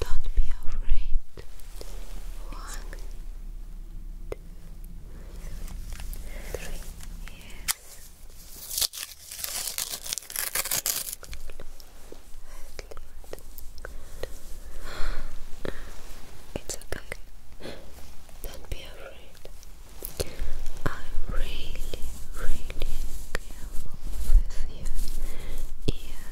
Don't be afraid. One, two, three. Yes. It's okay. Don't be afraid. I really, really really careful with You just go down and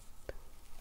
Okay.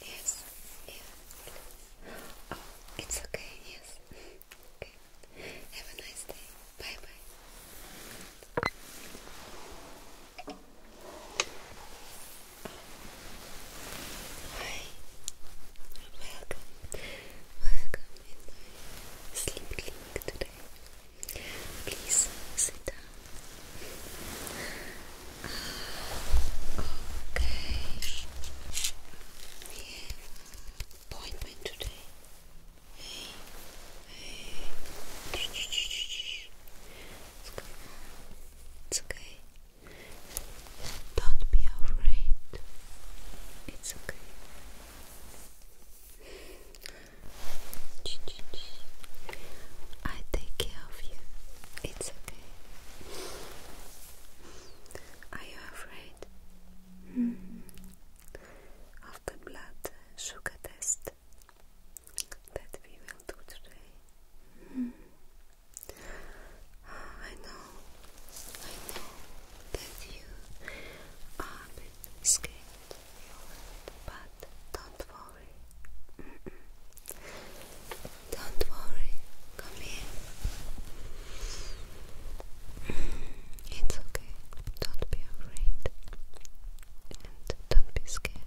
Yes, yes. Oh, it's okay, yes. okay. Have a nice day. Bye bye. Oh. Hi. Welcome. Welcome sleep clinic today. Please sit down. Okay. We have appointment today. Hey, hey. It's okay. It's okay. Don't be afraid. It's okay. I take care of you. It's okay. Are you afraid? Hmm. Of the blood sugar test that we will do today. Hmm. I know, I know that you are scared but don't worry. Don't worry, come here. Mm-hmm. It's okay, don't be afraid and don't be scared.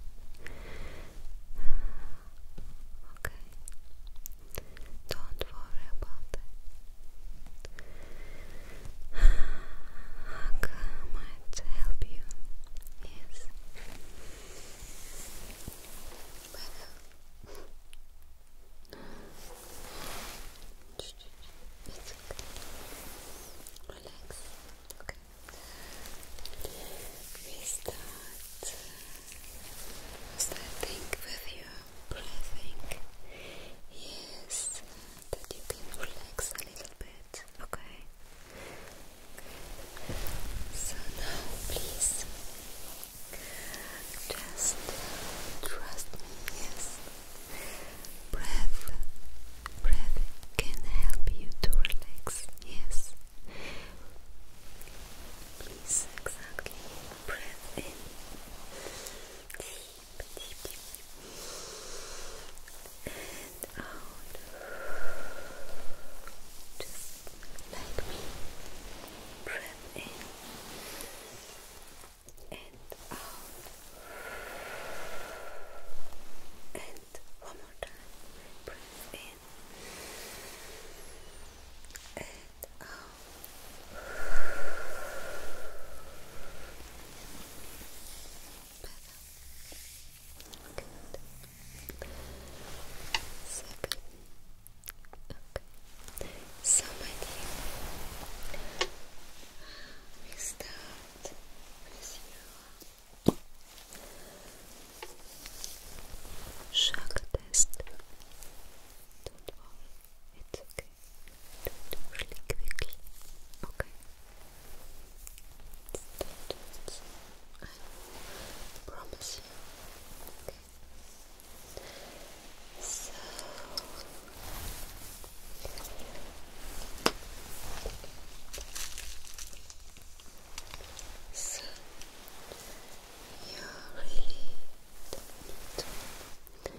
Okay, don't worry about it. How come help you? Yes. Well, it's okay. Relax. Okay. We start. Starting with your breathing. Yes that you can relax a little bit, okay? So now, please, just trust me, yes? Breath, breath can help you to relax, yes? Please, exactly, breathe in. And out. Just like me. Breath in. And out. And one more time. Breathe in. And out. So good. Okay. So my dear, we start with your shock test. Don't worry. It's okay. do really quickly. Okay. Just, I promise you. Okay. So so, you really don't need to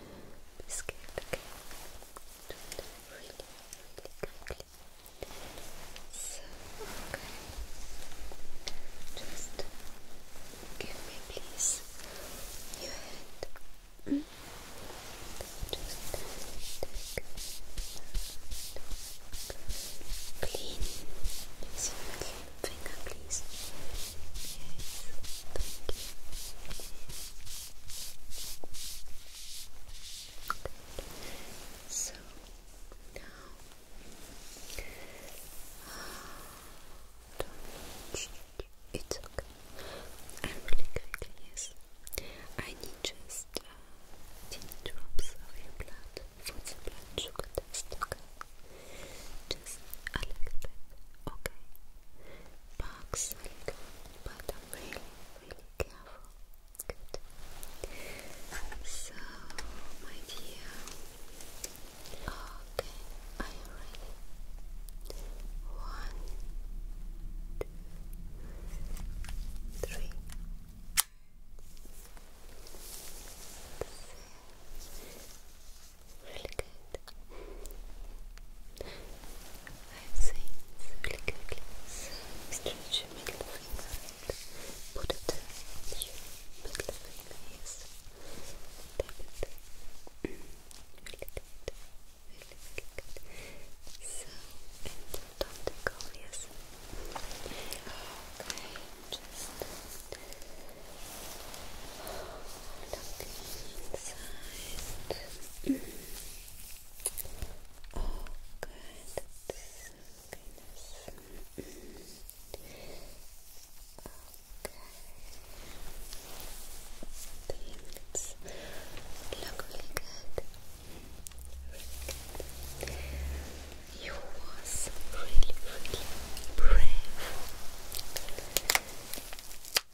be scared, okay? do it really, really quickly. okay. Just give me, please, your hand. Just clean using finger, please. Yes, thank you. Good. So now it's okay. And really quickly, yes. I need just uh, tiny drops of your blood for the blood sugar test, Just a little bit, okay? Box, a but I'm really, really careful. Good. So, my dear, okay, are you ready? One, two, three. Really good. I've really good glass stretch your middle finger put it to middle finger, yes really good, really, really so, and don't take all, just looking inside Oh, good. Goodness. Okay. Things look really good. Really good. You was really, really brave.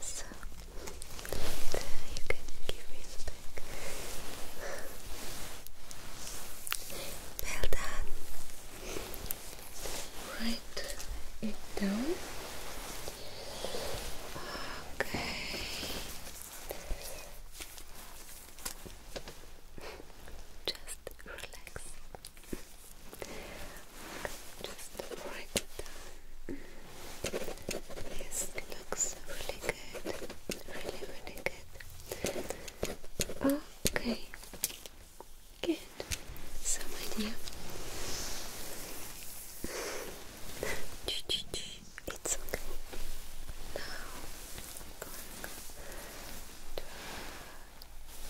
So, you can give me back. Well done. Write it down. Okay. Just relax. Just write it down. Yes, looks really good. Really, really good. Okay. Good. So, my dear. It's okay. Now,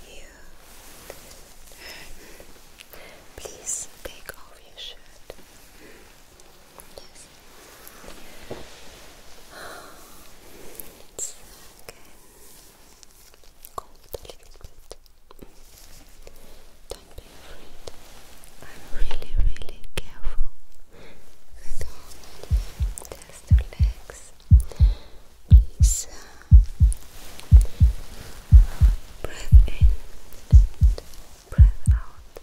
you. Please take off your shirt. Yes. it's again cold a little bit. Don't be afraid. I'm really, really careful with all my legs is uh, in and breath out.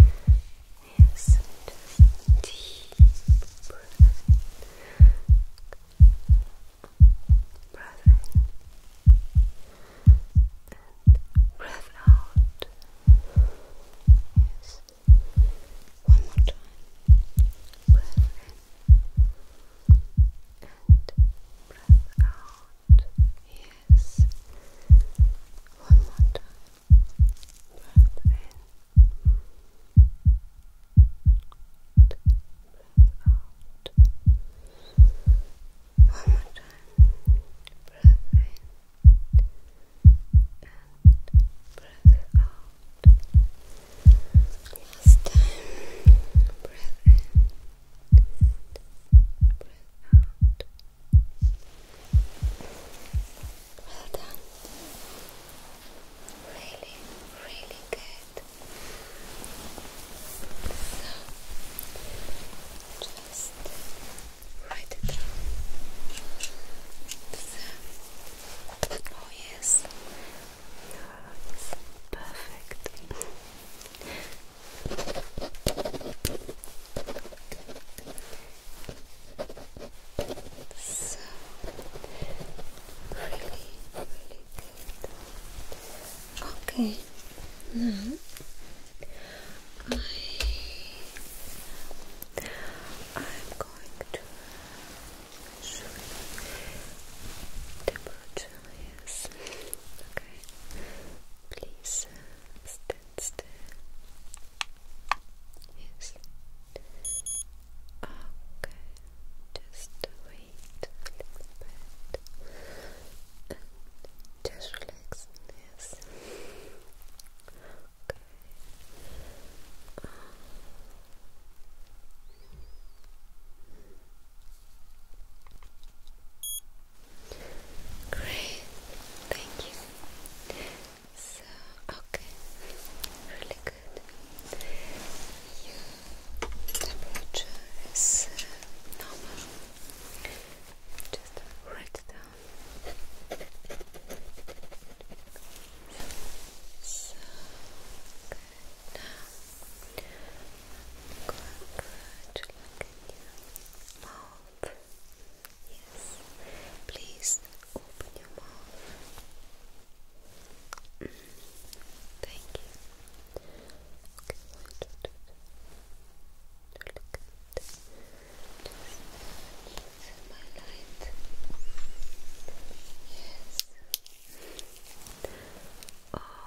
Okay. Yes, deep breath. in and breath out. Yes. One more time. Breath in and breath out. Yes. One more time. Breath in. Breath out. One more time. Breath in. And breath out. Last time, breath in, breath out. Well done. Really, really good. So, just write it So, oh yes, it's perfect. so really, really good. Okay. Now I I'm going to Yes. Okay. Please stand still. Yes. Okay. Just wait a bit. And just relax. Yes. Okay. Um, Great, thank you. So, okay, really good. Your temperature uh, normal. Just write down. So, good. Now, i look at your mouth. Yes, please open your mouth. Thank you. Okay, wait, my light. Yes. Oh,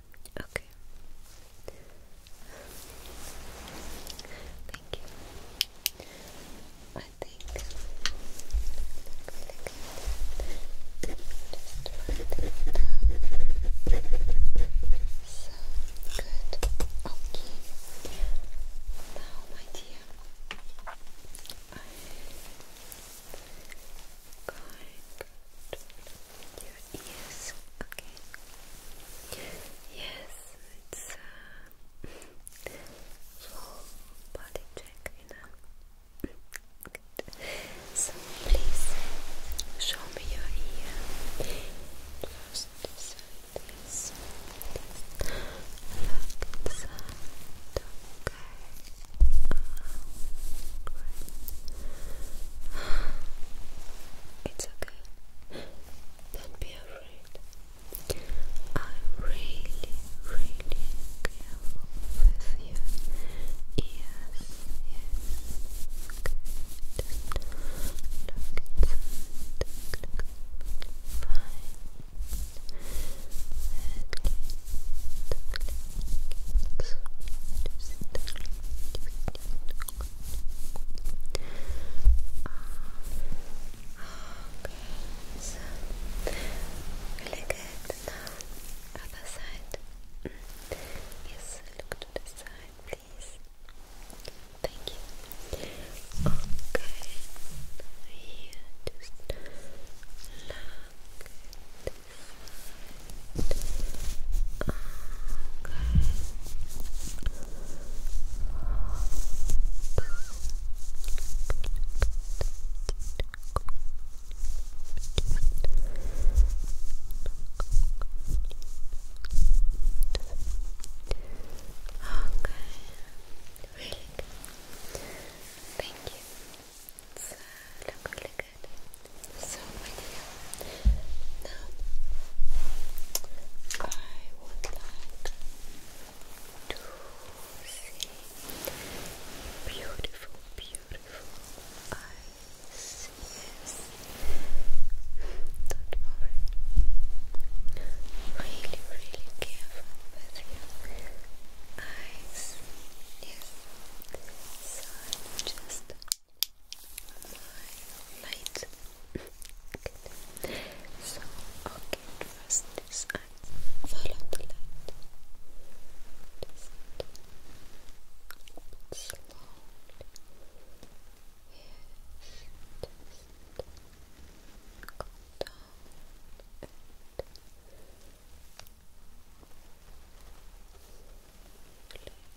Okay. Thank you. I think it down. So good. Okay. Now, my dear, I'm going to your okay? Yes, it's a full body check, you know? So please show me your ear. First okay? It's okay. Don't be afraid. I'm really, really careful with your ears. Yes. Okay, so really good. other side. Yes, look to the side, please. Thank you. Okay, here, just look really good. Thank you. Good. So, my dear, now I would like to see beautiful, beautiful eyes. Yes. Don't worry. Really, really careful with your eyes. Yes. So, i just light. Good. So, okay, first this Follow the light. Just slowly. Yes, just go down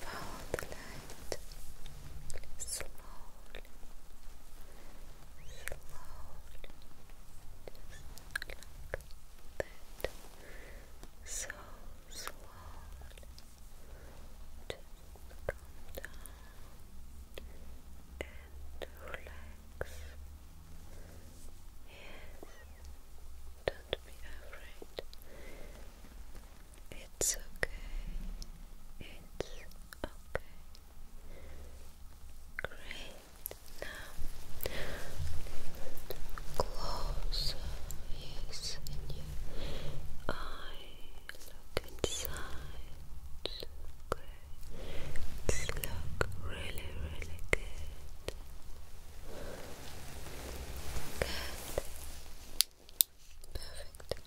Follow light slowly, slowly, just like that. So slowly, just come down and relax. Yes, don't be afraid. It's okay. It's okay. Great. Now, close yes, and you eye. Look inside. Okay. It's look really, really good. Good. Perfect.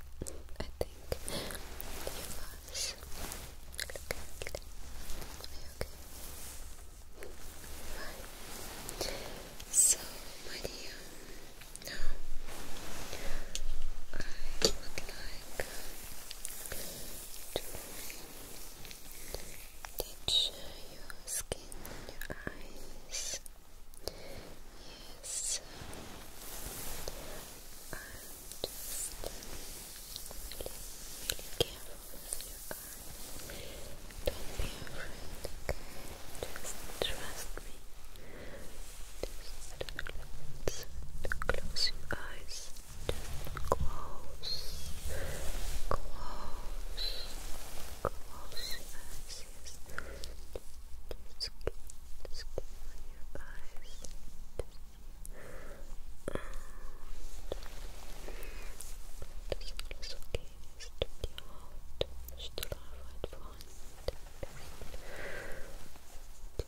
I think your eyes look you okay? Right. So, my now I would like to teach your skin in your eyes. Yes. just really, careful with your eyes. Don't be afraid, Just trust me. Just close your eyes. close, close, close eyes, yes. Just skin, skin on your eyes. Just, and das ist okay, es tut die Haut strahlend vorne. Die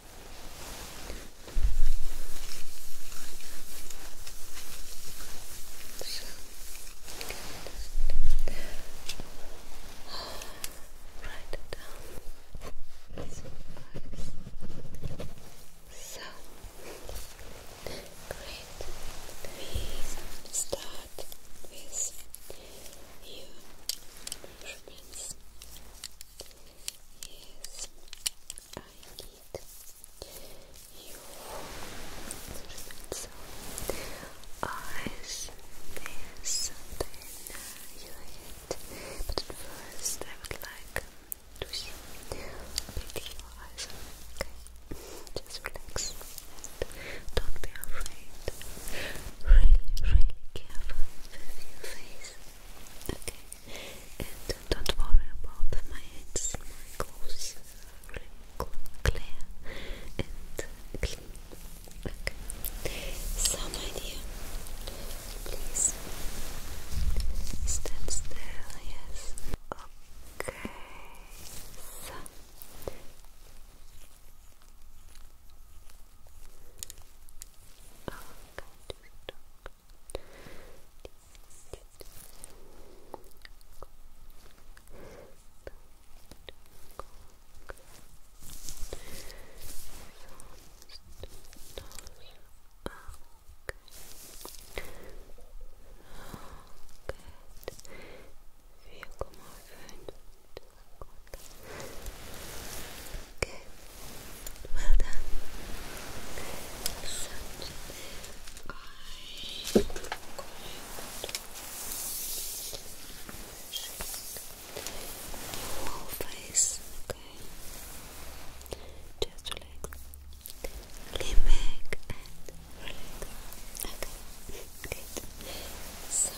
So, good. Write it down. So, great. We start with your measurements. Yes, I need your so, eyes, yes, and But at first, I would like to see big your eyes. Okay, just relax. don't be afraid. Really, really careful your face. Okay, and don't worry about my hands, my clothes are clear and clean. Okay, so my dear, please stand still, yes. Okay, Oh, God, Oh, good. Wie komma fünf, Okay, well done. So, i your face, okay? Just relax. Lean back and relax. Okay, good. So,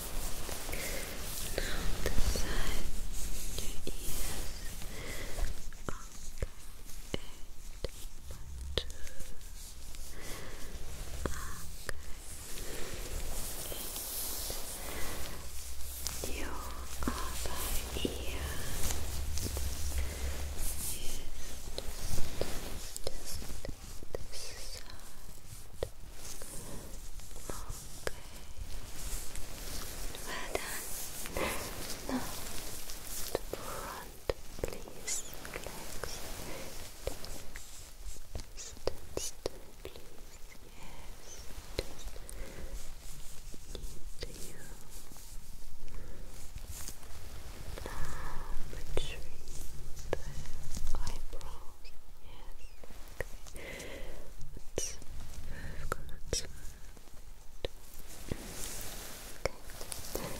Now the side your ears. Okay, eight Okay. Your other ear. Yes. Just this side. Well done. Now, front, please relax. Stand please. Yes, just need between the eyebrows. Yes, okay. That's five cards. Okay.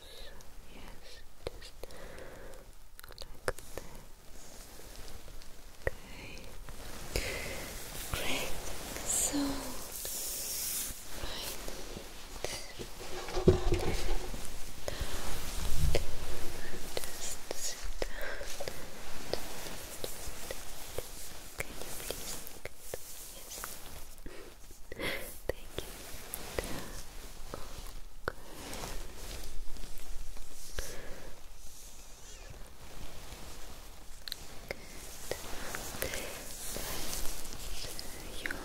And your Yes, just like that. Okay. Great. So I need just can you please Yes. Thank you. Good. And your left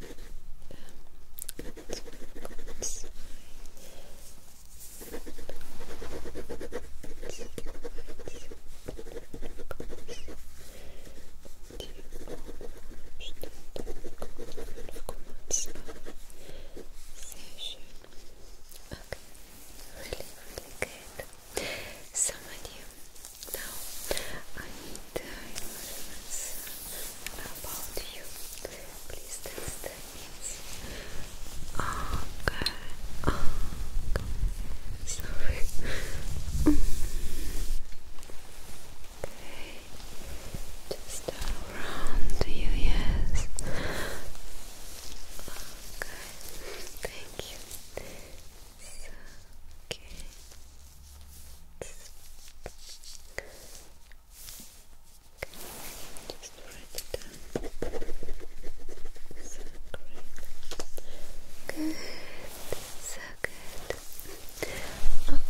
really, really good. Some of you now I need uh, your about you. Please test Okay. Sorry. okay. Just around you, yes. Okay. Thank you. Okay just write it down. So Good. So good. Okay.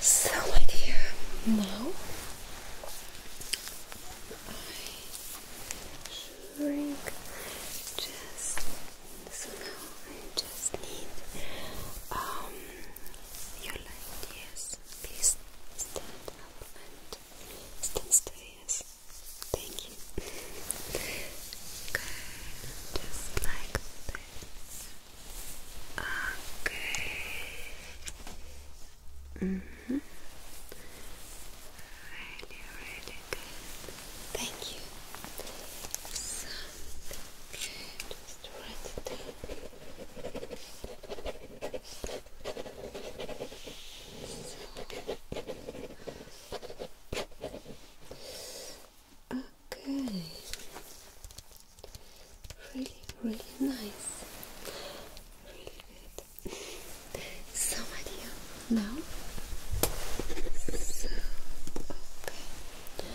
So, my dear, now just so now I just need um your light. Yes, please stand up and stand still. Yes, thank you. okay, just like this. Okay. Mm-hmm. Really, really good. Thank you. Okay. Really, really nice. Really good. Some of you So, okay.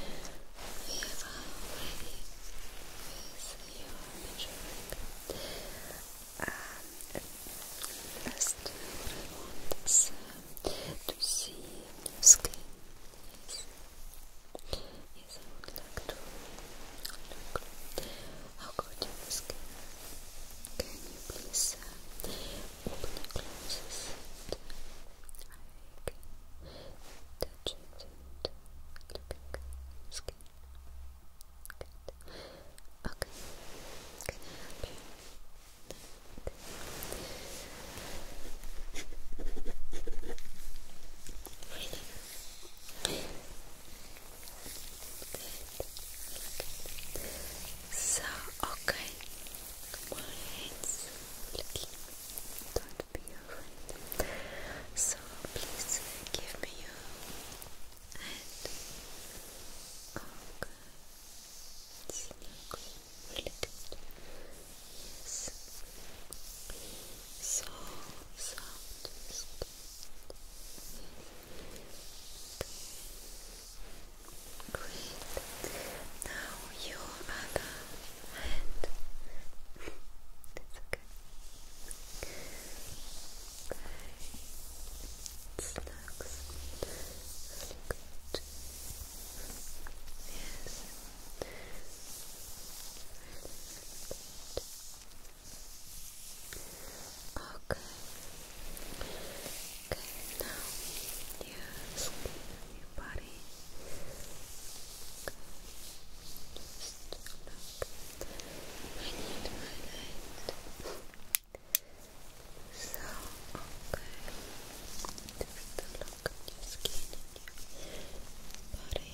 We have already with your measuring. Um, last, I want to see skin. Yes. Yes, I would like to look I'll go Can you please open your glasses? I can touch it and Good. Okay. Can I help so, okay, my hands looking, don't be afraid. So, please give me your hand. Okay, it's not good. So soft. Great. Now your other hand. That's okay. Okay. It looks really good. Yes. Really good. Okay. Okay, now your skin your body. Just look. I need my light. So, okay. Just look your skin your body. Okay.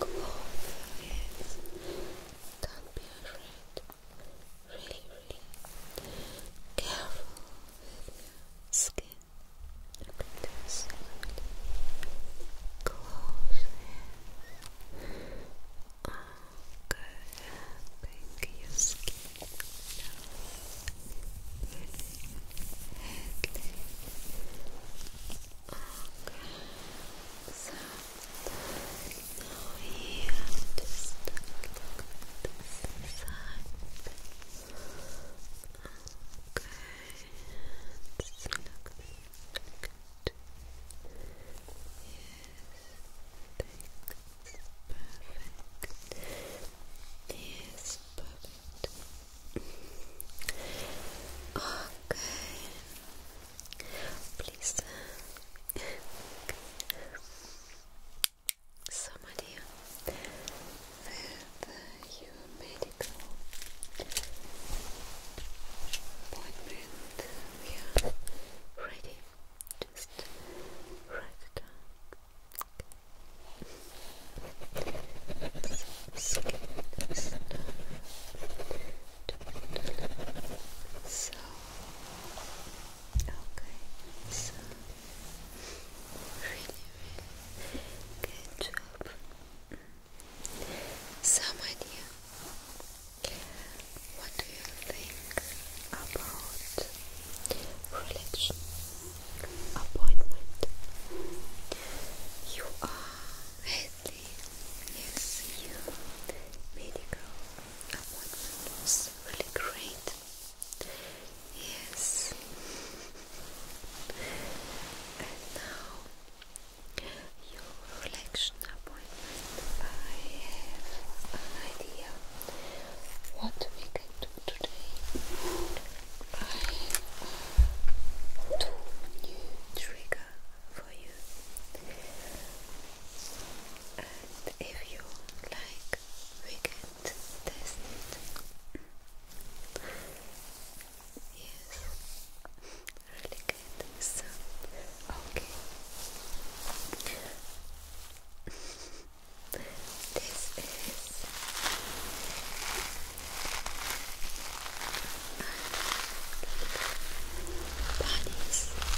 cloth is not be afraid. Really, really careful with your skin. Look at this. Close it. Okay, thank you, skin. Okay. So now we just look at Okay. Just look Yes, I perfect. Yes, perfect. Okay. Please. so, with your medical appointment, ready. Just write it down so okay so really good job some what do you think about religion appointment you are Lately, yes, your medical appointment was really great. Yes. And now, your election appointment, I have an idea what we can do today. I have new triggers for you. And if you like, we can test it. Yes, really good. So, okay. this is Bodies, They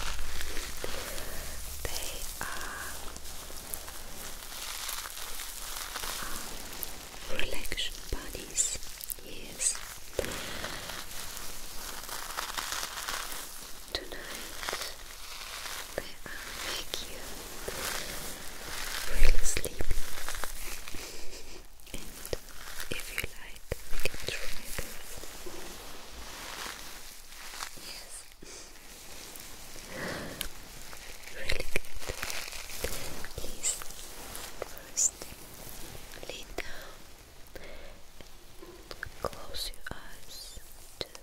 are um, relaxation Yes. Tonight they are make sleepy if you like, we can try this. Yes. Really good. Please, first, lean down close your eyes.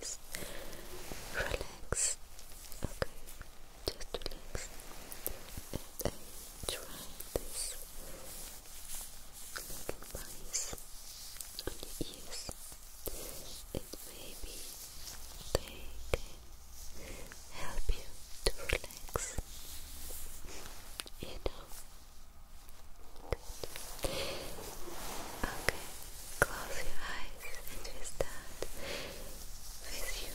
Just relax. Okay, just relax. Uh, try this little mice on your ears and maybe they help you to relax. You Okay, close your eyes and we start with you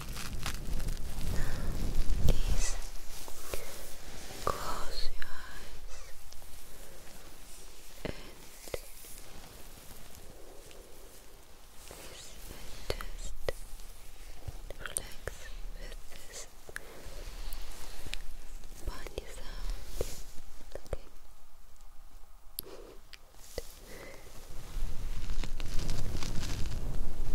Now please close your eyes and just relax with this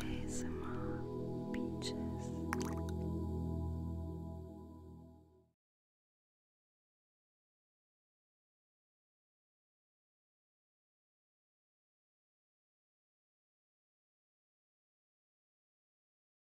ASMR Beaches.